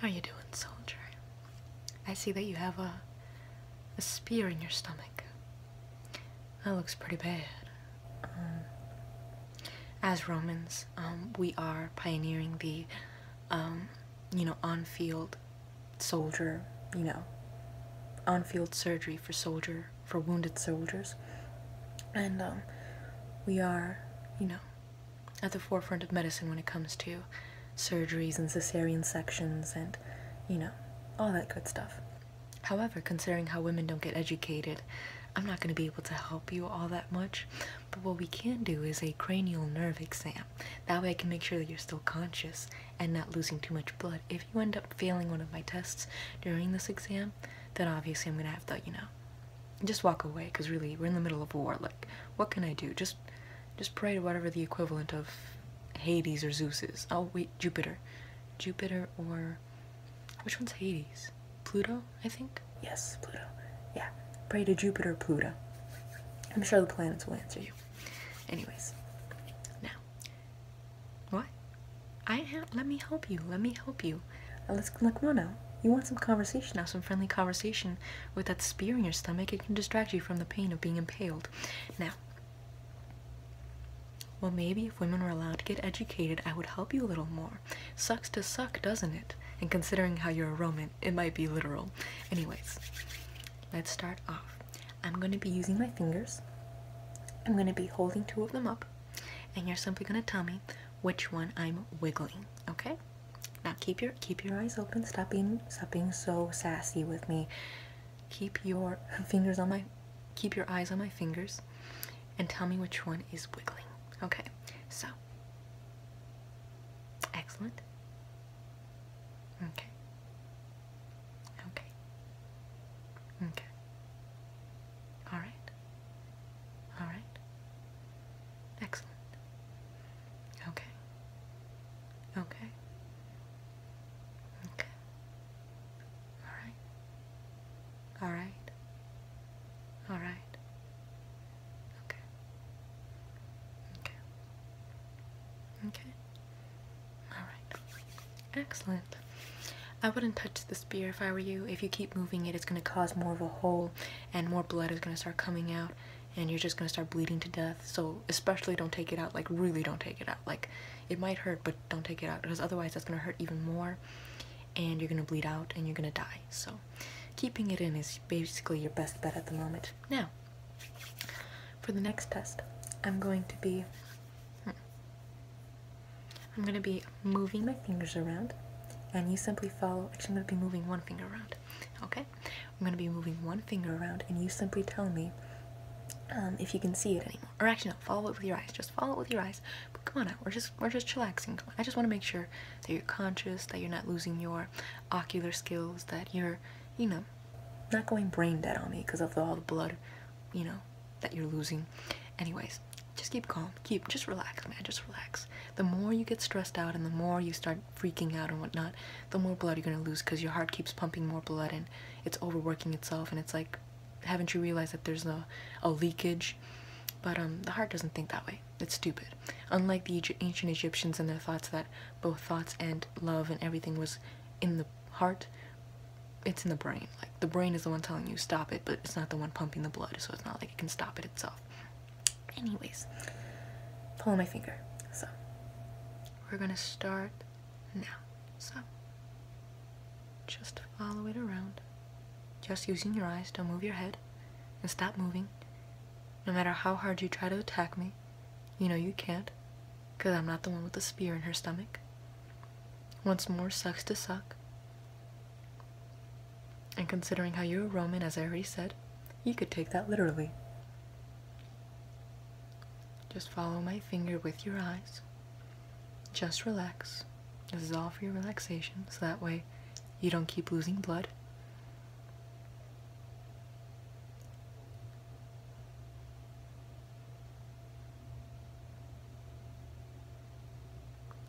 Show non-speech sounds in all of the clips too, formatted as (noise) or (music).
How you doing, soldier? I see that you have a spear in your stomach. That looks pretty bad. Uh, as Romans, um, we are pioneering the, um, you know, on-field soldier, you know, on-field surgery for soldier for wounded soldiers, and um, we are, you know, at the forefront of medicine when it comes to surgeries and cesarean sections and, you know, all that good stuff. However, considering how women don't get educated, I'm not going to be able to help you all that much. But what we can do is a cranial nerve exam. That way I can make sure that you're still conscious and not losing too much blood. If you end up failing one of my tests during this exam, then obviously I'm going to have to, you know, just walk away because really we're in the middle of war like what can i do just just pray to whatever the equivalent of hades or zeus is oh wait jupiter jupiter or which one's hades pluto i think yes pluto yeah pray to jupiter pluto i'm sure the planets will answer you anyways now what i have. let me help you let me help you uh, let's like, come on now. You want some conversation now, some friendly conversation with that spear in your stomach. It can distract you from the pain of being impaled. Now, well, maybe if women were allowed to get educated, I would help you a little more. Sucks to suck, doesn't it? And considering how you're a Roman, it might be literal. Anyways, let's start off. I'm going to be using my fingers. I'm going to be holding two of them up. And you're simply going to tell me which one I'm wiggling, okay? Now keep your keep your eyes open. Stop being stop being so sassy with me. Keep your (laughs) fingers on my keep your eyes on my fingers and tell me which one is wiggling. Okay. So excellent. Okay. Okay. Okay. All right. All right. Excellent. Okay. Okay. Okay. Alright. Alright. Alright. Okay. Okay. Okay. Alright. Excellent. I wouldn't touch the spear if I were you. If you keep moving it, it's going to cause more of a hole and more blood is going to start coming out and you're just going to start bleeding to death so especially don't take it out like really don't take it out like it might hurt but don't take it out because otherwise that's going to hurt even more and you're going to bleed out and you're going to die so keeping it in is basically your best bet at the moment now for the next test i'm going to be hmm, i'm going to be moving my fingers around and you simply follow actually I'm going to be moving one finger around okay I'm going to be moving one finger around and you simply tell me um, if you can see it anymore or actually no follow it with your eyes just follow it with your eyes but come on now we're just we're just chillaxing I just want to make sure that you're conscious that you're not losing your ocular skills that you're you know not going brain dead on me because of all the blood you know that you're losing anyways just keep calm keep just relax man just relax the more you get stressed out and the more you start freaking out and whatnot the more blood you're going to lose because your heart keeps pumping more blood and it's overworking itself and it's like haven't you realized that there's a, a leakage but um, the heart doesn't think that way it's stupid unlike the ancient egyptians and their thoughts that both thoughts and love and everything was in the heart it's in the brain like the brain is the one telling you stop it but it's not the one pumping the blood so it's not like it can stop it itself Anyways, pull my finger. So, we're gonna start now. So, just follow it around. Just using your eyes, don't move your head, and stop moving. No matter how hard you try to attack me, you know you can't, because I'm not the one with the spear in her stomach. Once more, sucks to suck. And considering how you are a Roman, as I already said, you could take that literally. Just follow my finger with your eyes. Just relax. This is all for your relaxation, so that way you don't keep losing blood.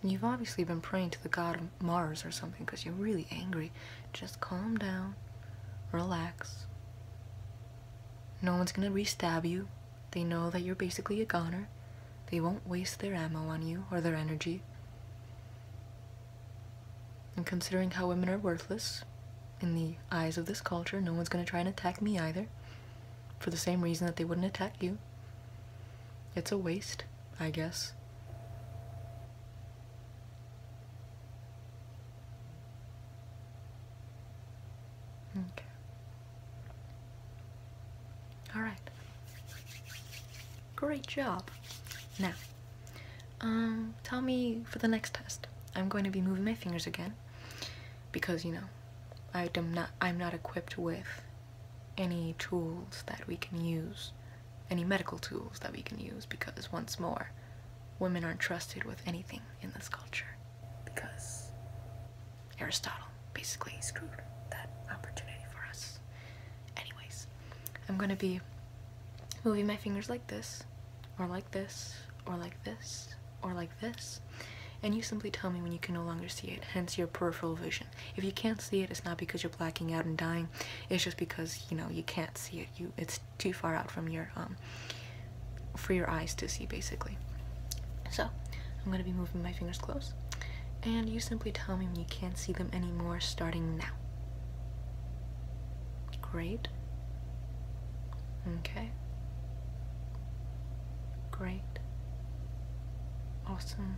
You've obviously been praying to the god of Mars or something because you're really angry. Just calm down, relax. No one's gonna re-stab you. They know that you're basically a goner. They won't waste their ammo on you or their energy. And considering how women are worthless, in the eyes of this culture, no one's gonna try and attack me either. For the same reason that they wouldn't attack you. It's a waste, I guess. Okay. All right. Great job. Now, um, tell me for the next test. I'm going to be moving my fingers again because you know, I am not I'm not equipped with any tools that we can use, any medical tools that we can use, because once more, women aren't trusted with anything in this culture. Because Aristotle basically screwed that opportunity for us. Anyways, I'm gonna be moving my fingers like this, or like this, or like this, or like this, and you simply tell me when you can no longer see it, hence your peripheral vision. If you can't see it, it's not because you're blacking out and dying. It's just because you know you can't see it. You it's too far out from your um for your eyes to see basically. So I'm gonna be moving my fingers close, and you simply tell me when you can't see them anymore. Starting now. Great. Okay. Great. Awesome.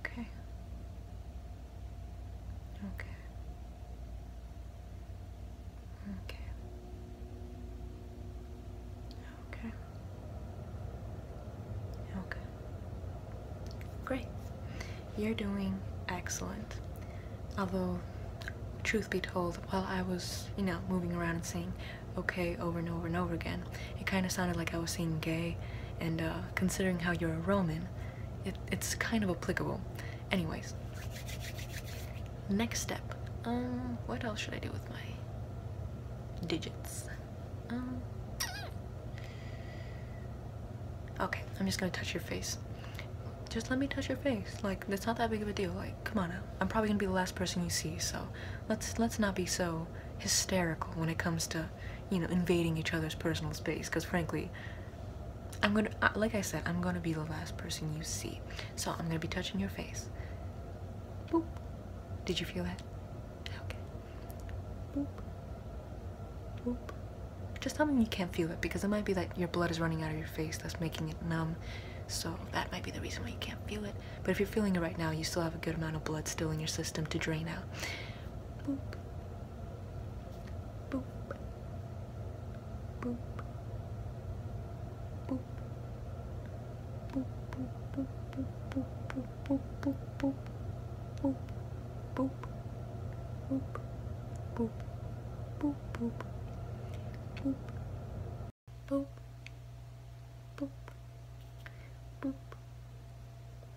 Okay. Okay. Okay. Okay. Okay. Great. You're doing excellent. Although, truth be told, while I was, you know, moving around and saying, okay over and over and over again. It kind of sounded like I was saying gay, and uh, considering how you're a Roman, it, it's kind of applicable. Anyways, next step. Um, what else should I do with my digits? Um, okay, I'm just gonna touch your face. Just let me touch your face. Like, that's not that big of a deal. Like, come on I'm probably gonna be the last person you see, so let's let's not be so hysterical when it comes to you know invading each other's personal space because frankly i'm gonna like i said i'm gonna be the last person you see so i'm gonna be touching your face boop did you feel that okay boop boop just tell me you can't feel it because it might be that your blood is running out of your face that's making it numb so that might be the reason why you can't feel it but if you're feeling it right now, you still have a good amount of blood still in your system to drain out boop, boop, boop,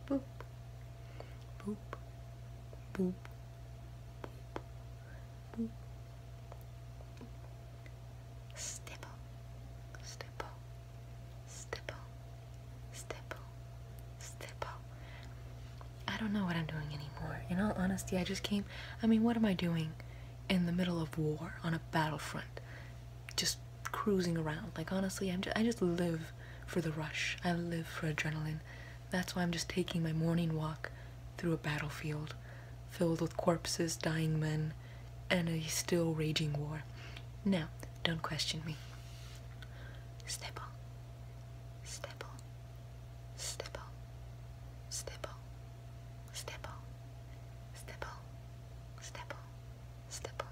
boop, boop, boop, boop, stipple, stipple, stipple, stipple, stipple. I don't know what I'm doing anymore. In all honesty, I just came. I mean, what am I doing in the middle of war on a battlefront? just cruising around. Like honestly, I'm just, I just live for the rush. I live for adrenaline. That's why I'm just taking my morning walk through a battlefield filled with corpses, dying men, and a still raging war. Now, don't question me. Stipple, stipple, stipple, stipple, stipple, stipple, stipple stipple,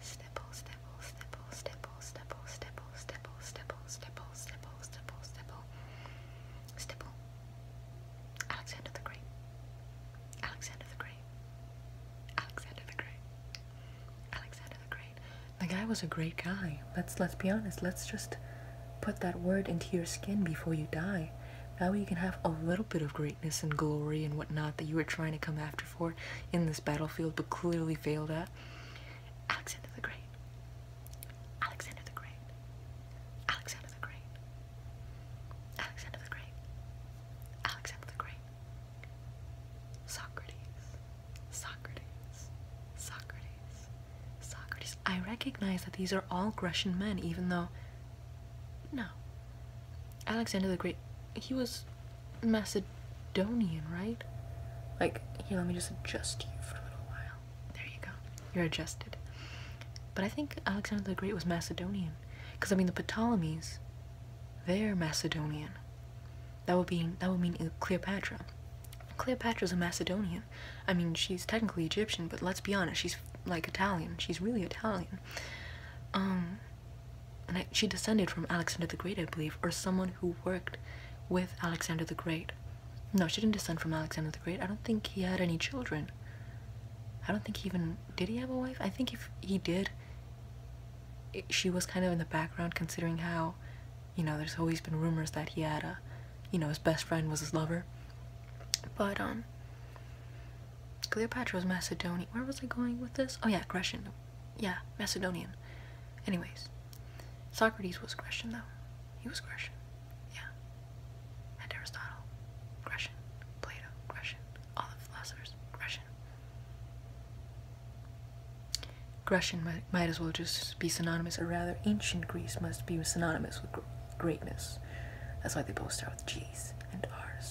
stipple, stipple, stipple, stipple, stipple, stipple, stipple, stipple, stipple, stipple, stipple, stipple, Alexander the Great, Alexander the Great, Alexander the Great, Alexander the Great. The guy was a great guy. Let's let's be honest. Let's just put that word into your skin before you die. That way you can have a little bit of greatness and glory and whatnot that you were trying to come after for in this battlefield but clearly failed at. Alexander the Great. Alexander the Great. Alexander the Great. Alexander the Great. Alexander the Great. Socrates. Socrates. Socrates. Socrates. I recognize that these are all Grecian men, even though no. Alexander the Great, he was Macedonian, right? Like, here, let me just adjust you for a little while. There you go. You're adjusted. But I think Alexander the Great was Macedonian. Because, I mean, the Ptolemies, they're Macedonian. That would, be, that would mean Cleopatra. Cleopatra's a Macedonian. I mean, she's technically Egyptian, but let's be honest, she's like Italian. She's really Italian. Um, and she descended from Alexander the Great, I believe, or someone who worked with Alexander the Great. No, she didn't descend from Alexander the Great. I don't think he had any children. I don't think he even did he have a wife? I think if he did, she was kind of in the background considering how, you know, there's always been rumors that he had a, you know, his best friend was his lover. But um Cleopatra was Macedonian. Where was I going with this? Oh yeah, Grecian. Yeah, Macedonian. Anyways, Socrates was Grecian though. He was Grecian. Yeah. And Aristotle, Grecian. Plato, Grecian. All the philosophers, Grecian. Grecian might, might as well just be synonymous, or rather, ancient Greece must be synonymous with greatness. That's why they both start with G's and R's.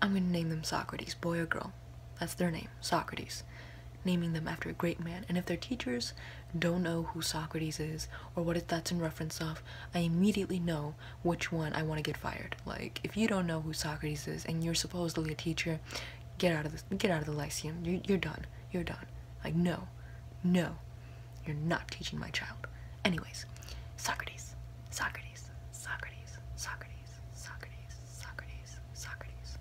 I'm gonna name them Socrates, boy or girl. That's their name, Socrates. Naming them after a great man. And if their teachers don't know who Socrates is or what it, that's in reference of, I immediately know which one I want to get fired. Like, if you don't know who Socrates is and you're supposedly a teacher, get out of this, get out of the Lyceum. You're, you're done. You're done. Like, no, no, you're not teaching my child. Anyways, Socrates, Socrates, Socrates, Socrates. Socrates, Socrates, Socrates,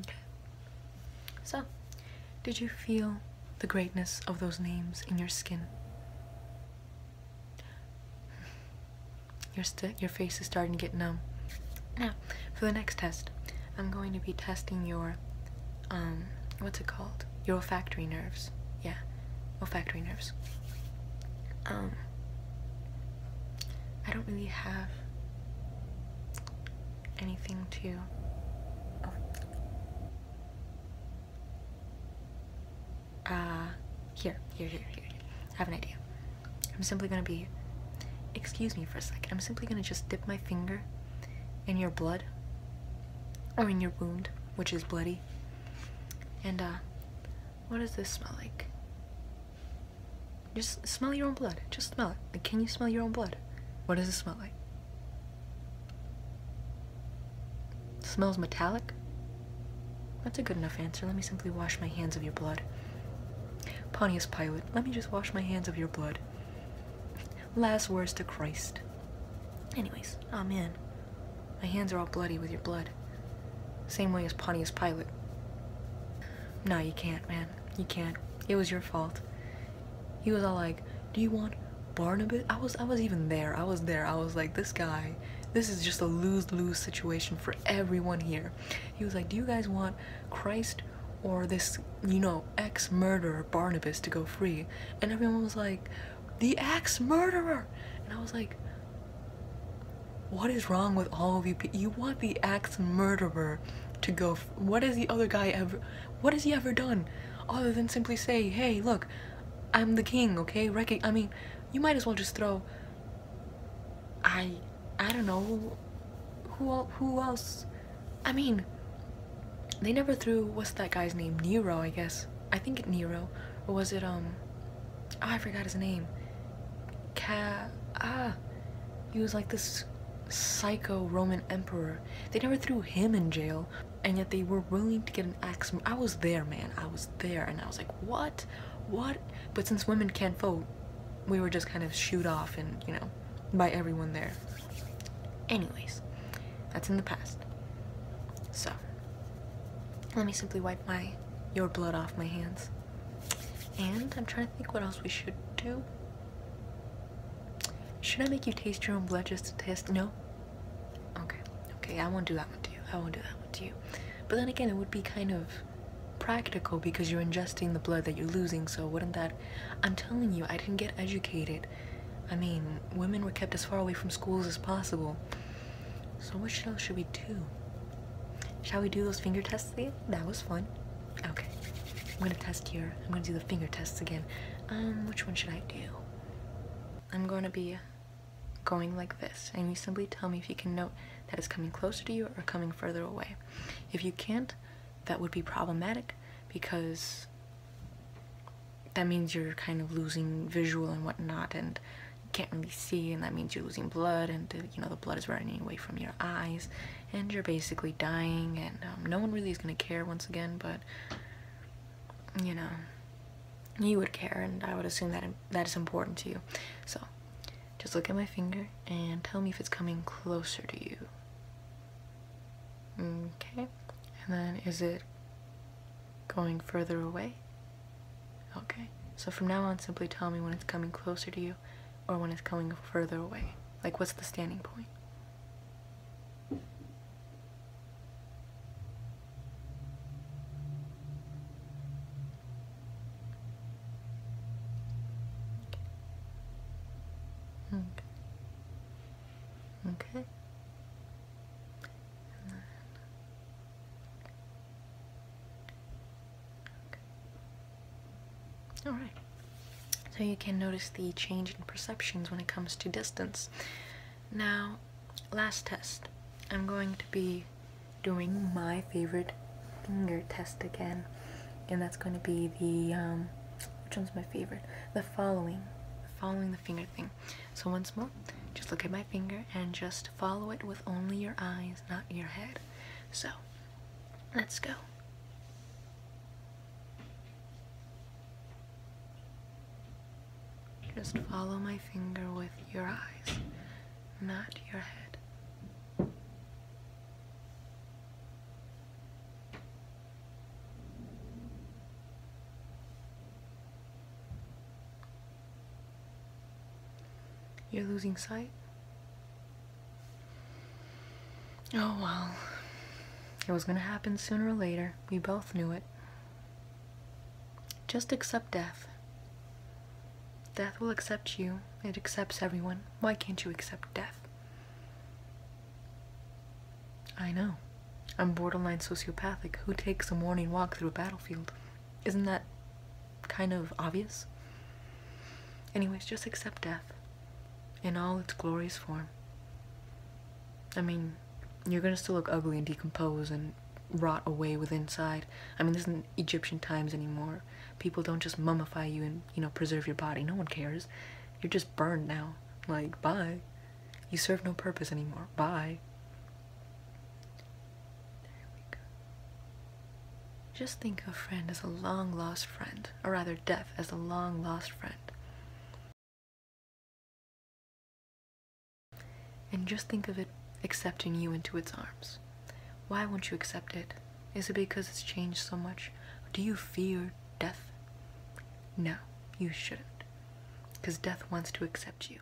Okay. So, did you feel the greatness of those names in your skin? Your, st your face is starting to get numb. Now, for the next test, I'm going to be testing your, um, what's it called? Your olfactory nerves. Yeah, olfactory nerves. Um, I don't really have anything to. Oh. Uh, here, here, here, here. I have an idea. I'm simply gonna be. Excuse me for a second. I'm simply gonna just dip my finger in your blood, or in your wound, which is bloody. And, uh, what does this smell like? Just smell your own blood. Just smell it. can you smell your own blood? What does it smell like? smells metallic? That's a good enough answer. Let me simply wash my hands of your blood. Pontius Pilate, let me just wash my hands of your blood. Last words to Christ. Anyways, amen. My hands are all bloody with your blood. Same way as Pontius Pilate. No, you can't, man. You can't. It was your fault. He was all like, do you want Barnabas? I was, I was even there. I was there. I was like, this guy, this is just a lose-lose situation for everyone here. He was like, do you guys want Christ or this, you know, ex-murderer Barnabas to go free? And everyone was like, the ex-murderer! And I was like, what is wrong with all of you You want the axe murderer to go. what has the other guy ever. What has he ever done? Other than simply say, hey, look, I'm the king, okay? Recog I mean, you might as well just throw. I. I don't know. Who, al who else? I mean, they never threw. What's that guy's name? Nero, I guess. I think Nero or was it um I forgot his name. Ca ah he was like this psycho Roman emperor. They never threw him in jail and yet they were willing to get an axe. I was there, man. I was there and I was like, "What? What?" But since women can't vote, we were just kind of shooed off and, you know, by everyone there. Anyways, that's in the past. So, let me simply wipe my your blood off my hands. And I'm trying to think what else we should do. Should I make you taste your own blood just to test? No? Okay. Okay, I won't do that one to you. I won't do that one to you. But then again, it would be kind of practical because you're ingesting the blood that you're losing, so wouldn't that... I'm telling you, I didn't get educated. I mean, women were kept as far away from schools as possible. So what else should we do? Shall we do those finger tests That was fun. Okay, I'm gonna test here. I'm gonna do the finger tests again. Um, which one should I do? I'm gonna be going like this, and you simply tell me if you can note that it's coming closer to you or coming further away. If you can't, that would be problematic because that means you're kind of losing visual and whatnot, and can't really see and that means you're losing blood and you know the blood is running away from your eyes and you're basically dying and um, no one really is going to care once again but you know you would care and i would assume that that is important to you so just look at my finger and tell me if it's coming closer to you okay and then is it going further away Okay, so from now on, simply tell me when it's coming closer to you or when it's coming further away. Like, what's the standing point? Okay. Okay. Alright. So you can notice the change in perceptions when it comes to distance. Now, last test. I'm going to be doing my favorite finger test again. And that's going to be the, um, which one's my favorite? The following. Following the finger thing. So once more, just look at my finger and just follow it with only your eyes, not your head. So, let's go. Just follow my finger with your eyes, not your head. You're losing sight? Oh well. It was going to happen sooner or later. We both knew it. Just accept death. Death will accept you. It accepts everyone. Why can't you accept death? I know. I'm borderline sociopathic. Who takes a morning walk through a battlefield? Isn't that kind of obvious. Anyways, just accept death in all its glorious form. I mean, you're gonna still look ugly and decompose and rot away with inside. I mean, this isn't Egyptian times anymore. People don't just mummify you and, you know, preserve your body. No one cares. You're just burned now. Like, bye. You serve no purpose anymore. Bye. Just think of friend as a long lost friend, or rather, death as a long lost friend. And just think of it accepting you into its arms. Why won't you accept it? Is it because it's changed so much? Do you fear death? No, you shouldn't, because death wants to accept you.